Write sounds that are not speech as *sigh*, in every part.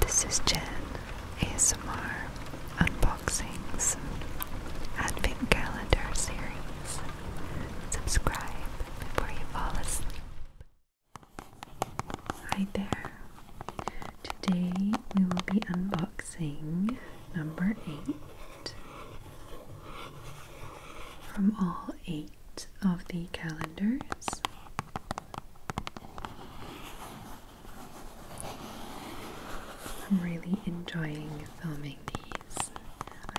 This is Jen ASMR Unboxings Advent Calendar Series. Subscribe before you fall asleep. Hi there. Today we will be unboxing number 8 from all 8 of the calendars. I'm really enjoying filming these.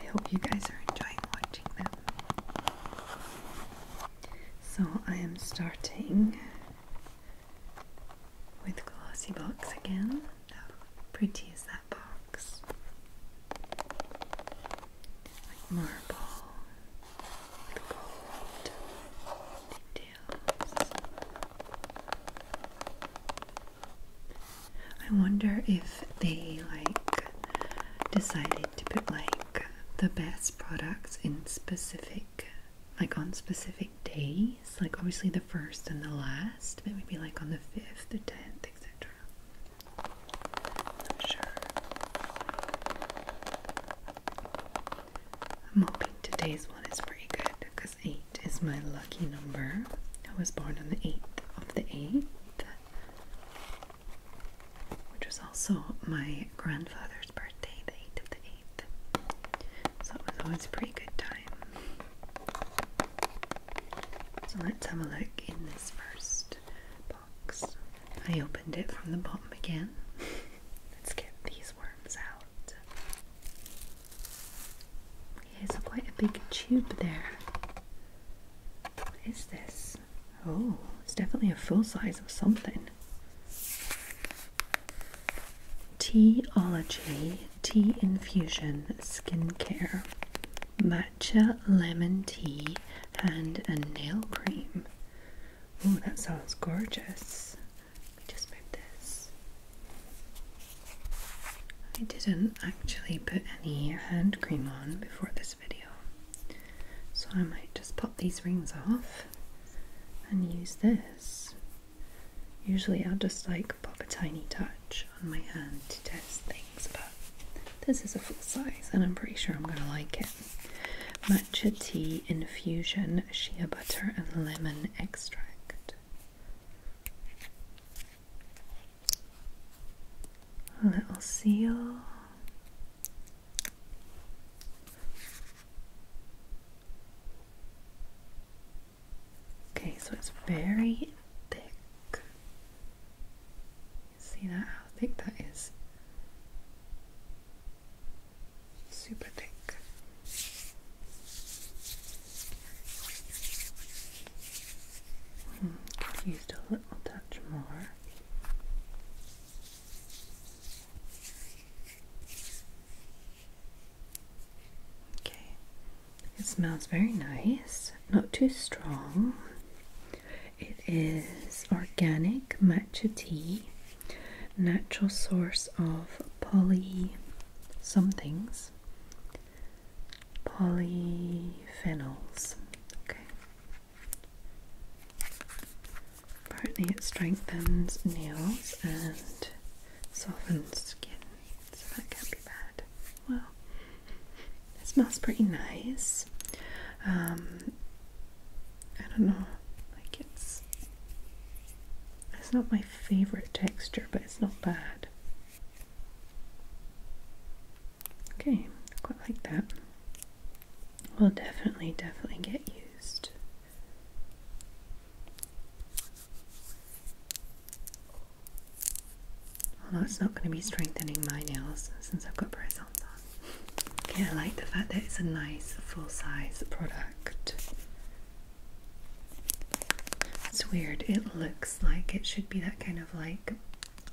I hope you guys are enjoying watching them. So I am starting with glossy box again. How pretty is that box? like marble I wonder if they like decided to put like the best products in specific like on specific days like obviously the first and the last but maybe like on the 5th the 10th etc i sure I'm hoping today's one is pretty good because 8 is my lucky number. I was born on the 8th of the 8th, which was also my grandfather's birthday, the 8th of the 8th. So it was always a pretty good time. So let's have a look in this first I opened it from the bottom again. Let's get these worms out. Okay, so quite a big tube there. What is this? Oh, it's definitely a full size of something. Teaology, tea infusion, skincare, matcha lemon tea, and a nail cream. Oh, that sounds gorgeous. Let just move this. I didn't actually put any hand cream on before this video, so I might just pop these rings off and use this. Usually I'll just like pop a tiny touch on my hand to test things, but this is a full size and I'm pretty sure I'm going to like it. Matcha tea infusion, shea butter, and lemon extract. little seal. Okay, so it's very thick. See that, how thick that is? Super thick. Hmm, used a little touch more. Okay, it smells very nice, not too strong. It is organic matcha tea, natural source of poly somethings, polyphenols. Okay. Apparently, it strengthens nails and softens skin, so that can't be bad. Well, it smells pretty nice. Um, I don't know, like it's it's not my favorite texture, but it's not bad. Okay, quite like that. Will definitely, definitely get used. Although it's not going to be strengthening my nails since I've got braces on yeah, I like the fact that it's a nice full size product. It's weird, it looks like it should be that kind of like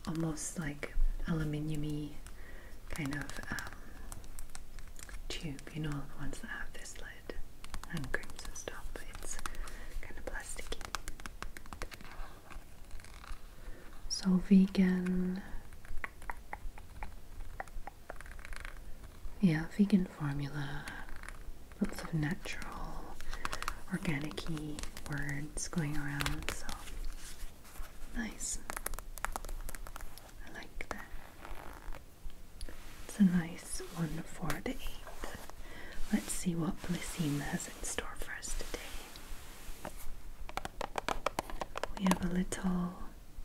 almost like aluminium kind of um, tube, you know, the ones that have this lid and crimson stuff, but it's kind of plasticky. So vegan. Yeah, vegan formula. Lots of natural, organic words going around. So nice. I like that. It's a nice one for the 8 Let's see what Blissima has in store for us today. We have a little,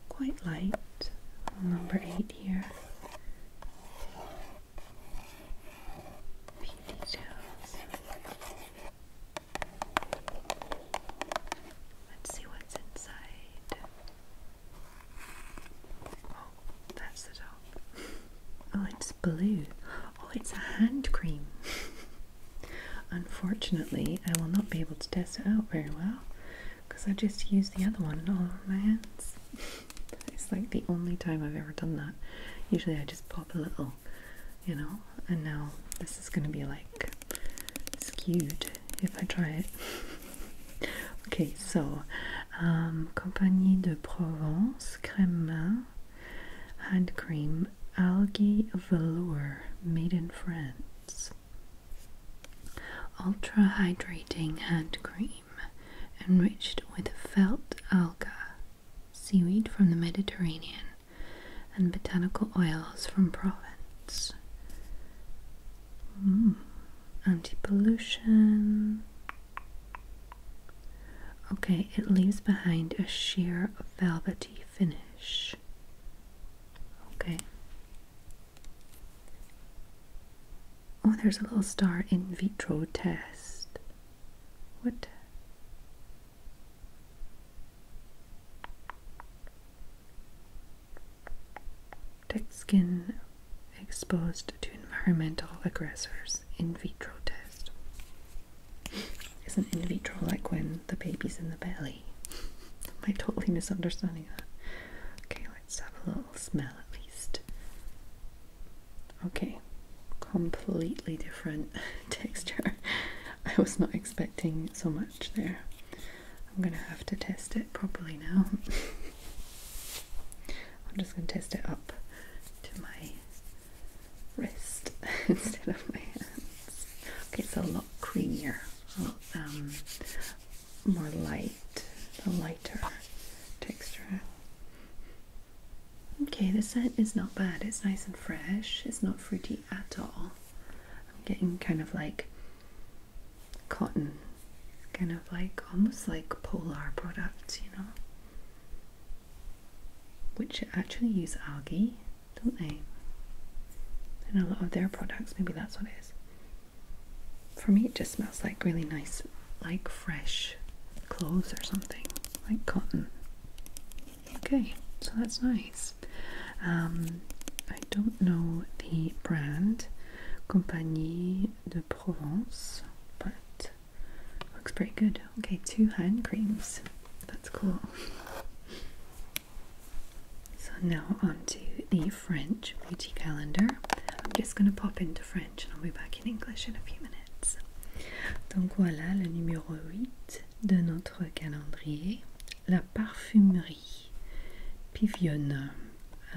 quite light, number 8 here. Let's see what's inside. Oh, that's the top. *laughs* Oh, it's blue. Oh, it's a hand cream. Unfortunately, I will not be able to test it out very well because I just used the other one all over my hands. *laughs* it's like the only time I've ever done that. Usually, I just pop a little, you know, and now this is going to be like skewed if I try it. *laughs* okay, so um, Compagnie de Provence cream main hand cream algae velour made in France. Ultra hydrating hand cream enriched with felt alga, seaweed from the Mediterranean, and botanical oils from Provence. Mm. Anti pollution. Okay, it leaves behind a sheer velvety finish. Okay. Oh, there's a little star in vitro test. What? Tech skin exposed to environmental aggressors in vitro test isn't in vitro like when the baby's in the belly? Am I totally misunderstanding that? Okay, let's have a little smell at least. Okay, completely different *laughs* texture. I was not expecting so much there. I'm gonna have to test it properly now. *laughs* I'm just gonna test it up to my wrist *laughs* instead of my hands. Okay, it's a lot creamier, a lot um, more light, a lighter texture. Okay, the scent is not bad. It's nice and fresh. It's not fruity at all. I'm getting kind of like cotton, kind of like almost like polar products, you know which actually use algae, don't they? In a lot of their products, maybe that's what it is. For me, it just smells like really nice, like fresh clothes or something, like cotton. Okay, so that's nice. Um, I don't know the brand, Compagnie de Provence, but Looks pretty good. Okay, two hand creams. That's cool. So now onto the French beauty calendar. I'm just going to pop into French and I'll be back in English in a few minutes. Donc voilà le numéro 8 de notre calendrier, la parfumerie Pivione.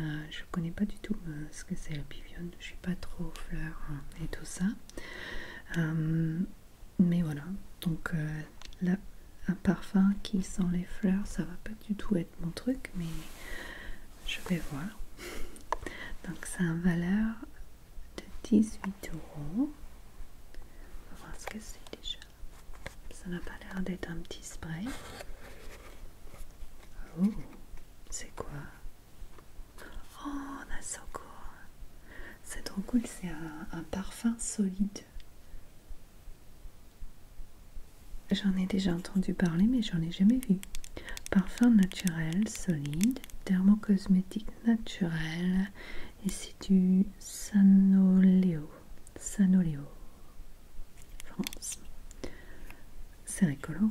Euh, je connais pas du tout euh, ce que c'est la Pivione, je suis pas trop fleur et tout ça. Euh, Mais voilà, donc euh, là, un parfum qui sent les fleurs, ça va pas du tout être mon truc, mais je vais voir. *laughs* Donc c'est un valeur de 18 euros. On va voir ce que c'est déjà. Ça n'a pas l'air d'être un petit spray. Oh, c'est quoi Oh, so C'est trop cool, c'est un, parfum solide. J'en ai déjà entendu parler, mais j'en ai jamais vu. Parfum naturel, solide, thermocosmétique naturel, et c'est du Sanoleo. Sanoléo. France. C'est rigolo.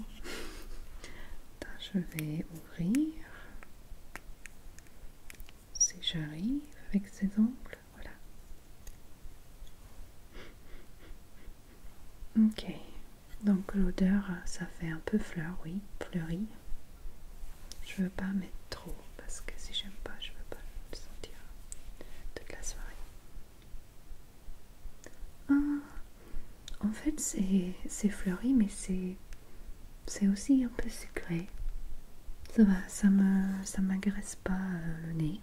*laughs* je vais Rire, Si j'arrive avec ses ongles, voilà. Ok, donc l'odeur, ça fait un peu fleur, oui, fleurie. Je veux pas mettre trop parce que si j'aime pas, je veux pas le sentir toute la soirée. Ah, en fait, c'est fleuri, mais c'est aussi un peu sucré. Ça va, ça m'agresse ça pas euh, le nez.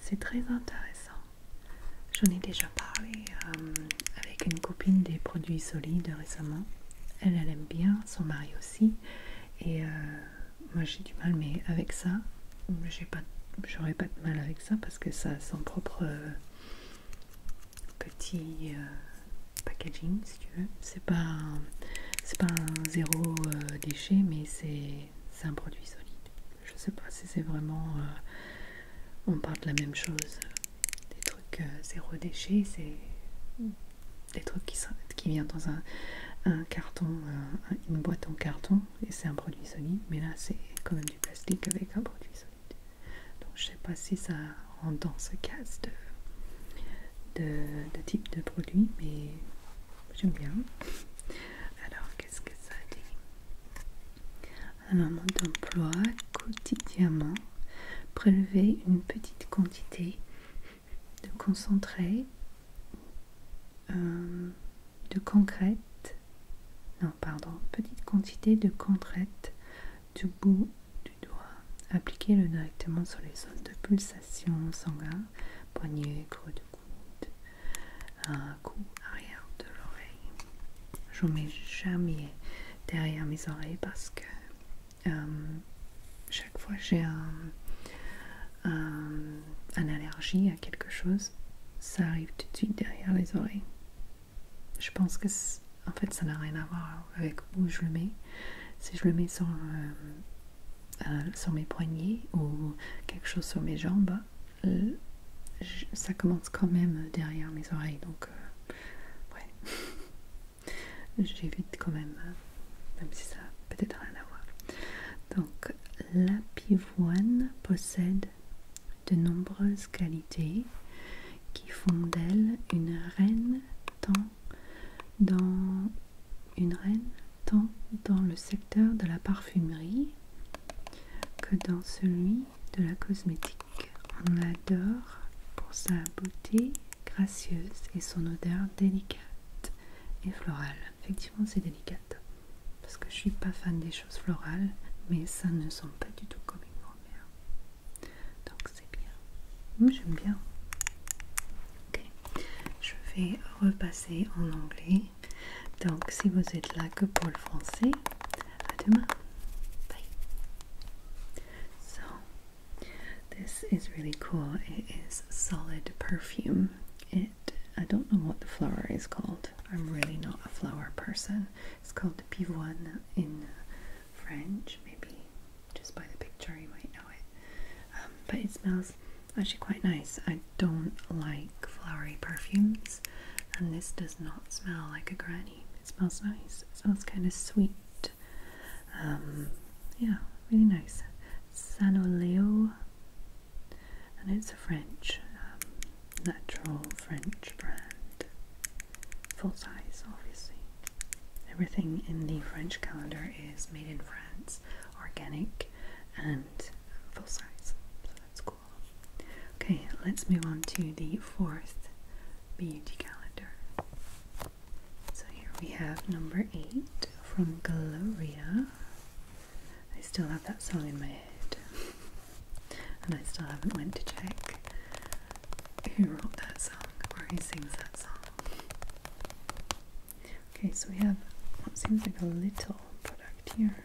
C'est très intéressant. J'en ai déjà parlé euh, avec une copine des produits solides récemment. Elle, elle aime bien, son mari aussi. Et euh, moi, j'ai du mal, mais avec ça, j'aurais pas, pas de mal avec ça parce que ça a son propre petit euh, packaging si tu veux. C'est pas, pas un zéro euh, déchet, mais c'est un produit solide. Je sais pas si c'est vraiment. Euh, on parle de la même chose. Des trucs zéro déchet, c'est des trucs qui, qui viennent dans un, carton, une boîte en carton, et c'est un produit solide, mais là c'est quand même du plastique avec un produit solide. Donc je sais pas si ça rend dans ce casse de, type de produit, mais j'aime bien. Alors qu'est-ce que ça dit un moment d'emploi quotidiennement, Prélever une petite quantité de concentré, euh, de concrète non pardon, petite quantité de contraite du bout du doigt. Appliquez-le directement sur les zones de pulsation sanguin, poignée, creux de coude, un coup arrière de l'oreille. Je ne mets jamais derrière mes oreilles parce que euh, chaque fois que j'ai une allergie à quelque chose, ça arrive tout de suite derrière les oreilles je pense que en fait ça n'a rien à voir avec où je le mets. Si je le mets sur, euh, euh, sur mes poignets ou quelque chose sur mes jambes, ça commence quand même derrière mes oreilles. Donc, euh, ouais, *laughs* j'évite quand même, même si ça peut-être rien à voir. Donc, la pivoine possède de nombreuses qualités qui font d'elle une reine tant dans une reine tant dans le secteur de la parfumerie que dans celui de la cosmétique. On l'adore pour sa beauté gracieuse et son odeur délicate et florale. Effectivement, c'est délicate parce que je suis pas fan des choses florales, mais ça ne sent pas du tout comme une grand Donc c'est bien. J'aime bien. Ok. Je vais repasser en anglais. Donc si vous êtes là que pour le français, à demain. Bye. So this is really cool. It is solid perfume. It I don't know what the flower is called. I'm really not a flower person, it's called pivoine in French, maybe just by the picture you might know it. Um, but it smells actually quite nice. I don't like flowery perfumes, and this does not smell like a granny. It smells nice, it smells kind of sweet. Um, yeah, really nice. Sanoleo, and it's a French um, natural French brand. Full size, obviously. Everything in the French calendar is made in France, organic, and full size. So that's cool. Okay, let's move on to the fourth beauty calendar. So here we have number eight from Gloria. I still have that song in my head. *laughs* and I still haven't went to check who wrote that song or who sings that song. Okay, so we have what seems like a little product here.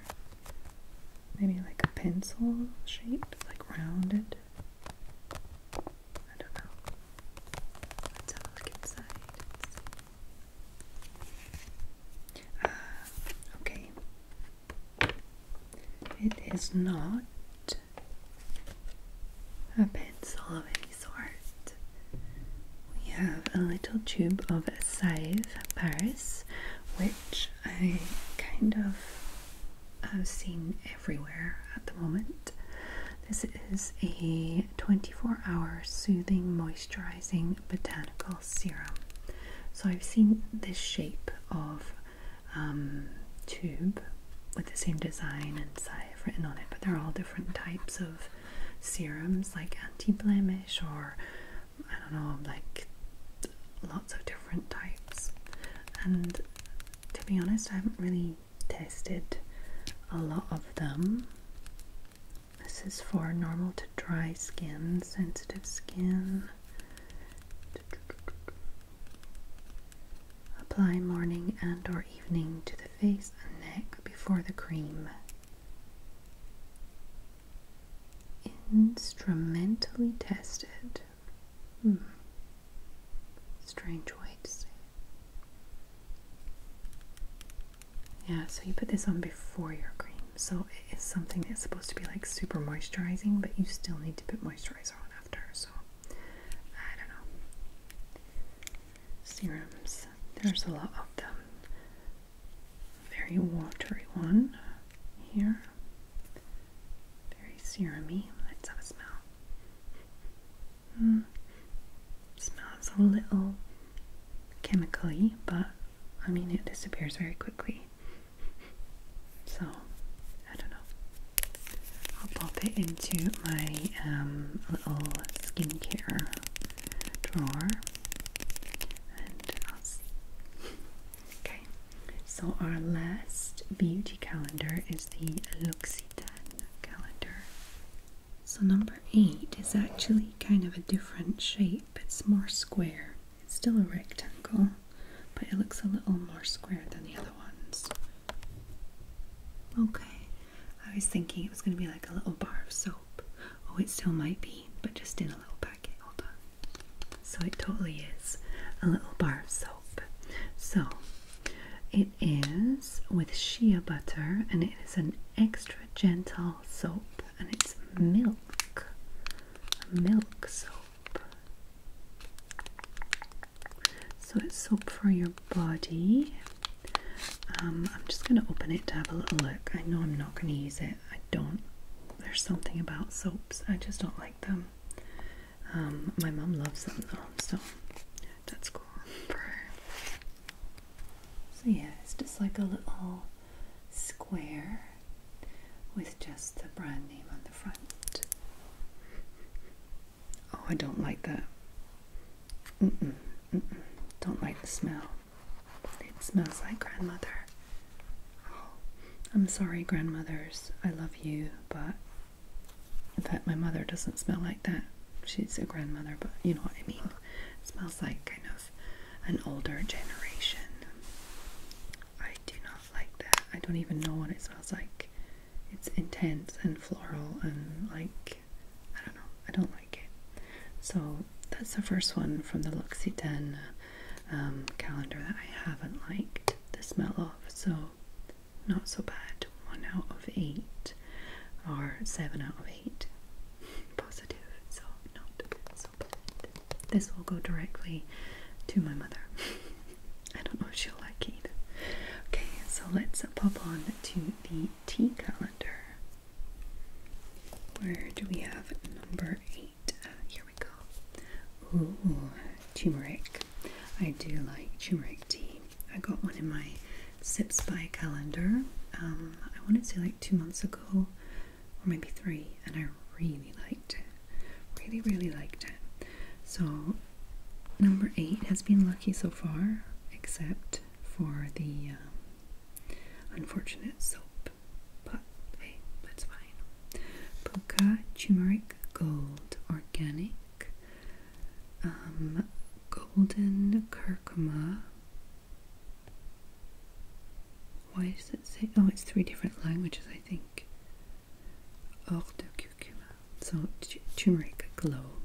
Maybe like a pencil shaped, like rounded. I don't know. Let's have a look inside. Ah, okay, it is not a pencil of any sort. We have a little tube of Save Paris, which I kind of have seen everywhere at the moment. This is a 24 hour soothing moisturizing botanical Serum. So I've seen this shape of um, tube with the same design and I've written on it, but they're all different types of serums like anti-blemish or I don't know, like lots of different types. And to be honest, I haven't really tested a lot of them. This is for normal to dry skin, sensitive skin. Apply morning and or evening to the face and neck before the cream. Instrumentally tested. Hmm. Strange way to say Yeah, so you put this on before your cream. So it is something that's supposed to be like super moisturizing, but you still need to put moisturizer on after. So I don't know. Serums. There's a lot of them. Very watery one here. Very seramy. Let's have a smell. Mm. Smells a little chemically, but I mean, it disappears very quickly. So, I don't know. I'll pop it into my um, little skincare drawer and I'll uh, see. Okay, so our last beauty calendar is the L'Occitane calendar. So, number eight is actually kind of a different shape, it's more square. It's still a rectangle, but it looks a little more square than the other ones. Okay, I was thinking it was going to be like a little bar of soap. Oh, it still might be, but just in a little packet. Hold on. So it totally is a little bar of soap. So it is with shea butter and it is an extra gentle soap and it's milk. Milk soap. So it's soap for your body. Um, I'm just going to open it to have a little look. I know I'm not going to use it. I don't. There's something about soaps. I just don't like them. Um, my mum loves them though, so that's cool So yeah, it's just like a little square with just the brand name on the front. Oh, I don't like that. Mm -mm, mm mm. don't like the smell. It smells like grandmother. Oh, I'm sorry, grandmothers. I love you, but that my mother doesn't smell like that. She's a grandmother, but you know what I mean smells like kind of an older generation. I do not like that. I don't even know what it smells like. It's intense and floral and like I don't know. I don't like it. So that's the first one from the L'Occitane um, calendar that I haven't liked the smell of. So not so bad. One out of eight or seven out of eight plate positive, so not so bad. This will go directly to my mother. *laughs* I don't know if she'll like it. Okay, so let's pop on to the tea calendar. Where do we have number eight? Uh, here we go. Ooh, turmeric. I do like turmeric tea. I got one in my Sips by calendar. Um, I want to say like two months ago or maybe three, and I really liked it. Really, really liked it. So, number eight has been lucky so far, except for the um, unfortunate soap. But hey, that's fine. Puka Turmeric Gold Organic um, Golden Curcuma why does it say? Oh, it's three different languages, I think. Or de So turmeric glow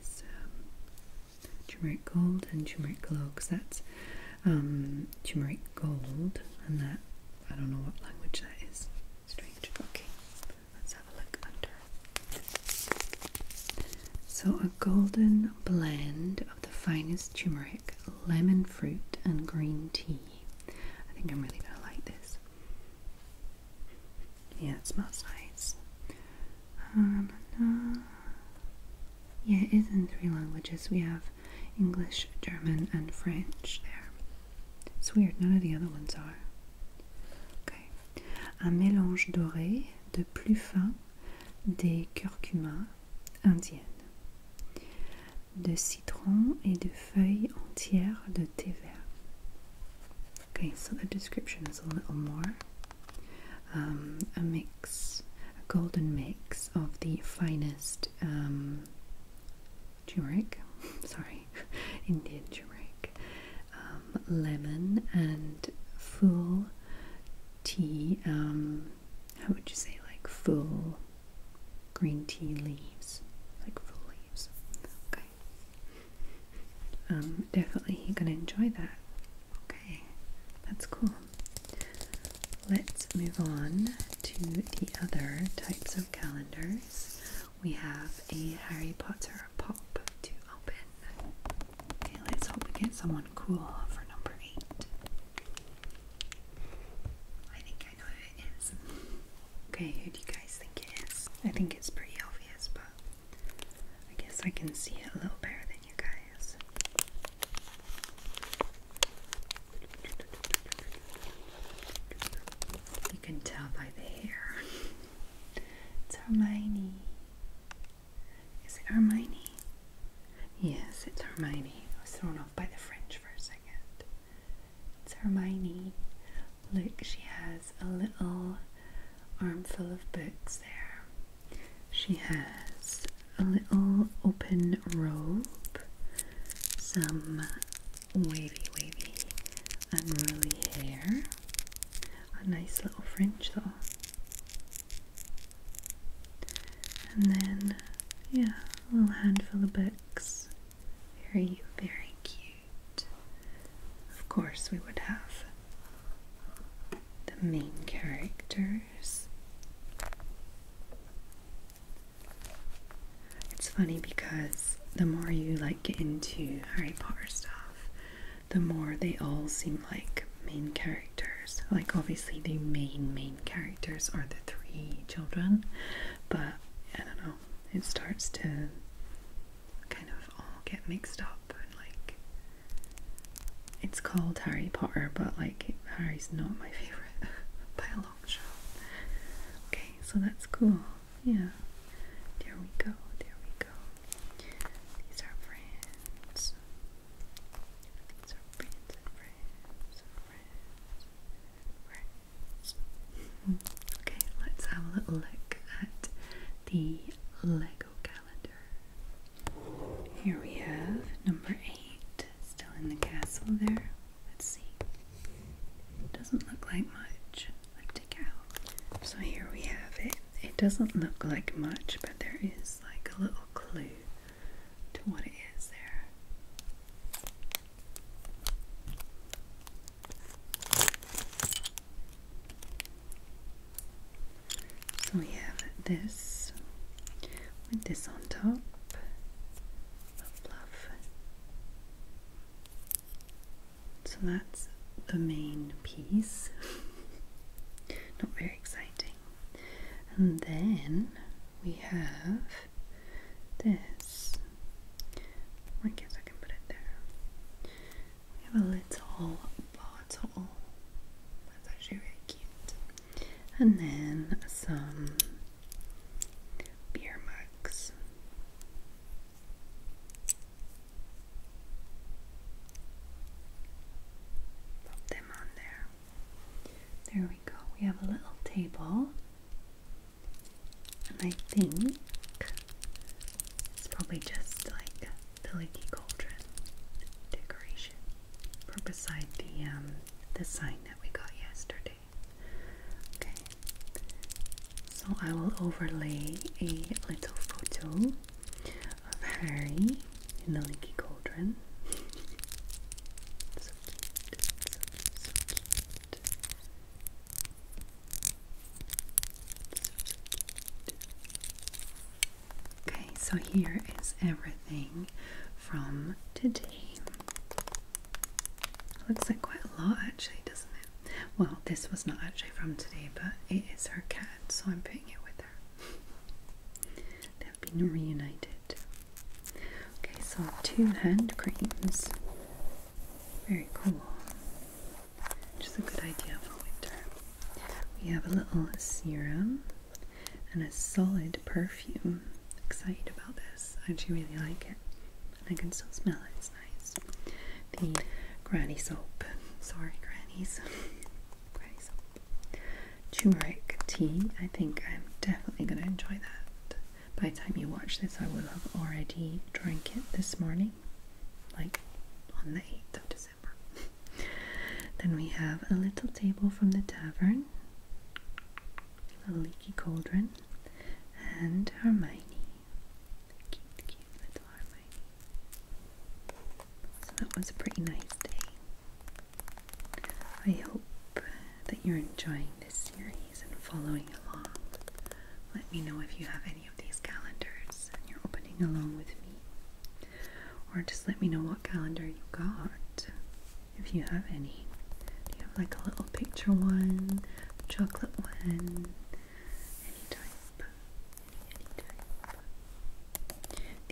is um, turmeric gold and turmeric glow, because that's um, turmeric gold, and that I don't know what language that is. Strange. Okay, let's have a look under. So golden blend of the finest turmeric, lemon fruit, and green tea. I think I'm really gonna like this. Yeah, it smells nice. Um, yeah, it is in three languages. We have English, German, and French there. It's weird, none of the other ones are. Okay. Un mélange doré de plus fin des curcuma indiennes, de citron et de feuilles entières de thé vert. Okay, so the description is a little more. Um, a mix, a golden mix of the finest um, turmeric, *laughs* sorry, *laughs* Indian turmeric, um, lemon, and full tea, um, how would you say, like full green tea leaves, like full leaves. Okay. Um, definitely you're gonna enjoy that. Okay, that's cool. Let's move on to the other types of calendars. We have a Harry Potter pop to open. Okay, let's hope we get someone cool for number eight. I think I know who it is. Okay, who do you guys think it is? I think it's pretty obvious, but I guess I can see it a little better than you guys. You can tell by the hair. *laughs* It's Hermione. Is it Hermione? Yes, it's Hermione. I was thrown off by the French for a second. It's Hermione. Look, she has a little armful of books there. She has a little open robe, some wavy, wavy, unruly hair, a nice little fringe though. And then, yeah, a little handful of books. Very, very cute. Of course, we would have the main characters. It's funny because the more you like get into Harry Potter stuff, the more they all seem like main characters. Like, obviously, the main, main characters are the three children, but I don't know, it starts to kind of all get mixed up and like it's called Harry Potter, but like Harry's not my *laughs* favorite by a long shot. Okay, so that's cool. Yeah, there we go, there we go. These are friends. These are friends and friends and friends. Friends. okay, let's have a little look at the Lego calendar. Here we have number eight, still in the castle there. Let's see. Doesn't look like much. Let's take out. So here we have it. It doesn't look like much, but there is like a little clue to what it is there. So we have this with this on top, a bluff. So that's the main piece. *laughs* not very exciting. And then we have this. I guess I can put it there. We have a little bottle. That's actually really cute. And then some beer mugs. Pop them on there. There we go. We have a little table. And I think it's probably just like the leaky cauldron decoration for beside the um, the sign that we got yesterday. Okay. So I will overlay a little photo of Harry in the leaky cauldron. Okay, so here is everything from today. Looks like quite a lot actually, doesn't it? Well, this was not actually from today, but it is her cat so I'm putting it with her. They've been reunited. Okay, so two hand creams. Very cool. Which is a good idea for winter. We have a little serum and a solid perfume. Excited about this. I actually really like it. And I can still smell it, it's nice the granny soap. Sorry, grannies. *laughs* granny soap. Turmeric tea. I think I'm definitely going to enjoy that. By the time you watch this, I will have already drank it this morning, like on the 8th of December. *laughs* then we have a little table from the tavern, a leaky cauldron, and Hermione. So that was a pretty nice day. I hope that you're enjoying this series and following along. Let me know if you have any of these calendars and you're opening along with me. Or just let me know what calendar you got, if you have any. Do you have like a little picture one, chocolate one, any type?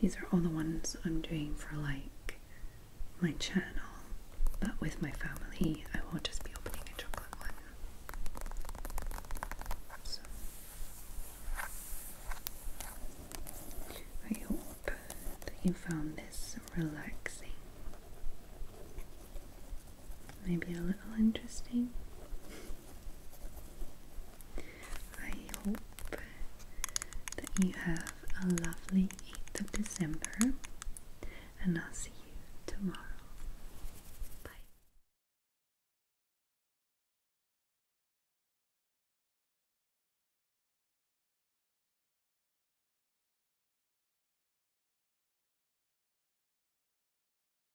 These are all the ones I'm doing for like my channel, but with my family, I will not just be opening a chocolate one. So I hope that you found this relaxing. Maybe a little interesting. I hope that you have a lovely 8th of December and I'll see you tomorrow. Bye.